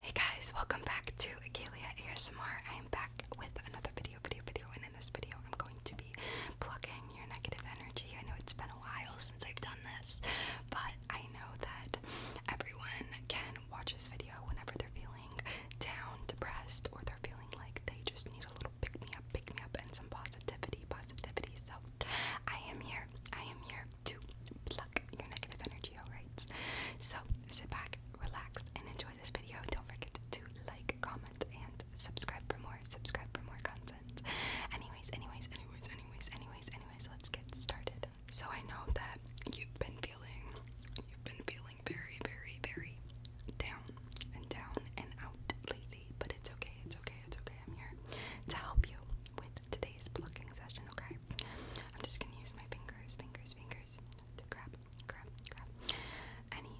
Hey guys, welcome back to Agalia ASMR. I am back with another video, video, video, and in this video I'm going to be plucking your negative energy. I know it's been a while since I've done this, but I know that everyone can watch this video whenever they're feeling down, depressed, or they're feeling like they just need a little pick-me-up, pick-me-up, and some positivity, positivity. So I am here, I am here to pluck your negative energy, alright? So sit back, relax, and enjoy this video. Don't forget to like, comment, and subscribe for more. Subscribe for more content. Anyways, anyways, anyways, anyways, anyways, anyways, let's get started. So I know that you've been feeling you've been feeling very, very, very down and down and out lately, but it's okay, it's okay, it's okay. I'm here to help you with today's plucking session, okay? I'm just gonna use my fingers, fingers, fingers to grab, grab, grab any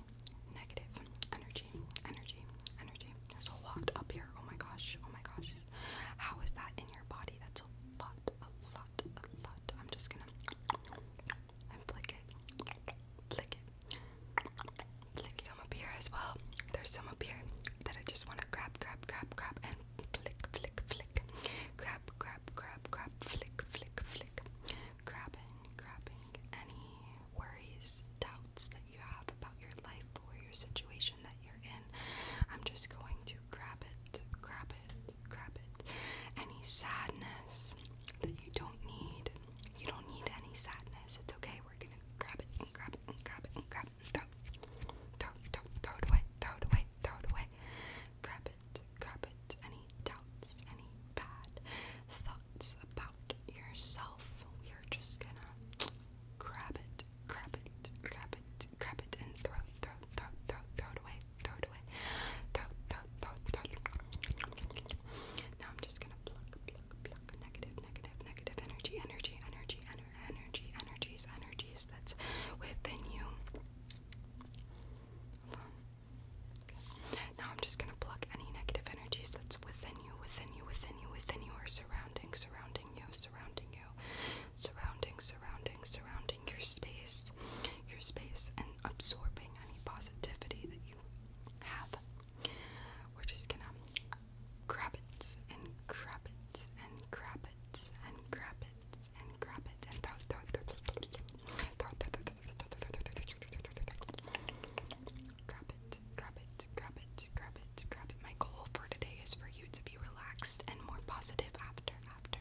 negative energy, energy, energy. There's a lot up here. Oh my gosh, oh my gosh. How is that in your body? That's a lot, a lot, a lot. I'm just gonna flick it. Flick it, Flick some up here as well. There's some up here that I just want to grab, grab, grab, grab, and flick, flick, flick. Grab, grab, grab, grab, flick, flick, flick. Grabbing, grabbing any worries, doubts that you have about your life or your situation that you're in. I'm just going to grab it, grab it, grab it. Any sadness that you don't need, you don't need any sadness. It's okay. We're gonna grab it grab it grab it and grab it throw, throw, throw, throw it away, throw it away, throw it away. Grab it, grab it. Any doubts, any bad thoughts about yourself, we are just gonna grab it, grab it, grab it, grab it, and throw, throw, throw, throw, throw it away, throw it away, throw, throw, throw. Now I'm just gonna pluck, pluck, pluck, negative, negative, negative energy, energy, energy, ener energy, energies, energies that's within you. Okay. Now I'm just gonna pluck any negative energies that's within you, within you, within you, within your or surrounding, surrounding you, surrounding you, surrounding, surrounding, surrounding your space, your space, and absorbing any positivity that you have. We're just gonna grab it and grab it and grab it and grab it and grab it and grab it. My goal for today is for you to be relaxed and more positive after after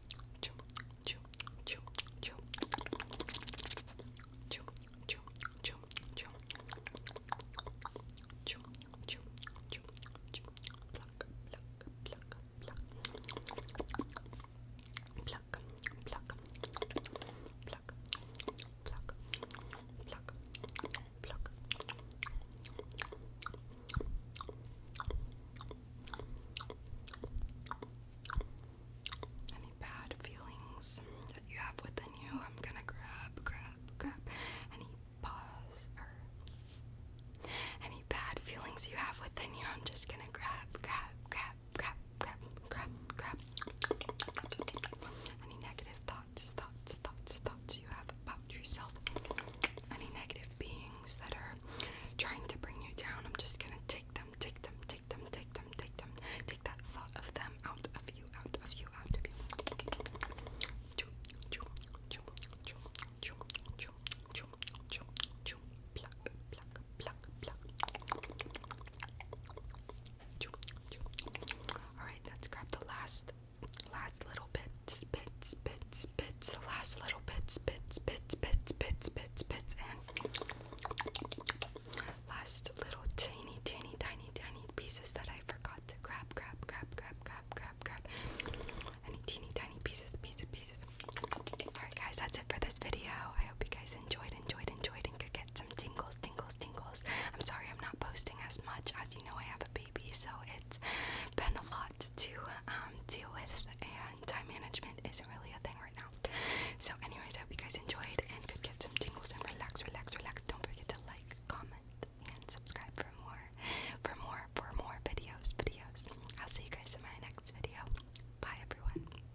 chew, chew, chew, chew, chew, chew, chew, chew, chew, chew, chew, chew, pluck, pluck, pluck, pluck, pluck, pluck, pluck, pluck, pluck, pluck. Any bad feelings that you have within you, I'm gonna grab, grab, grab any pause or any bad feelings you have within you, I'm just gonna grab, grab, grab, grab, grab, grab, grab. Any negative thoughts thoughts, thoughts, thoughts, thoughts you have about yourself, any negative beings that are trying to bring you down, I'm just gonna take them, take them, take them, take them, take them, take that thought of them out of you, out of you, out of you. Pluck, pluck, pluck, pluck. Alright, let's grab the last last last little bit spits spits spits the last little bit spits spits spits spits spits spits and last little teeny teeny tiny tiny pieces that I forgot to grab grab grab grab grab grab grab any teeny tiny pieces pieces pieces Alright guys that's it for this video. I hope you guys enjoyed enjoyed enjoyed and could get some tingles, tingles, tingles. I'm sorry I'm not posting as much. As you know, I have a baby, so it's been a lot to um, deal with, and time management isn't really a thing right now. So, anyways, I hope you guys enjoyed and could get some tingles and relax, relax, relax. Don't forget to like, comment, and subscribe for more, for more, for more videos, videos. I'll see you guys in my next video. Bye, everyone.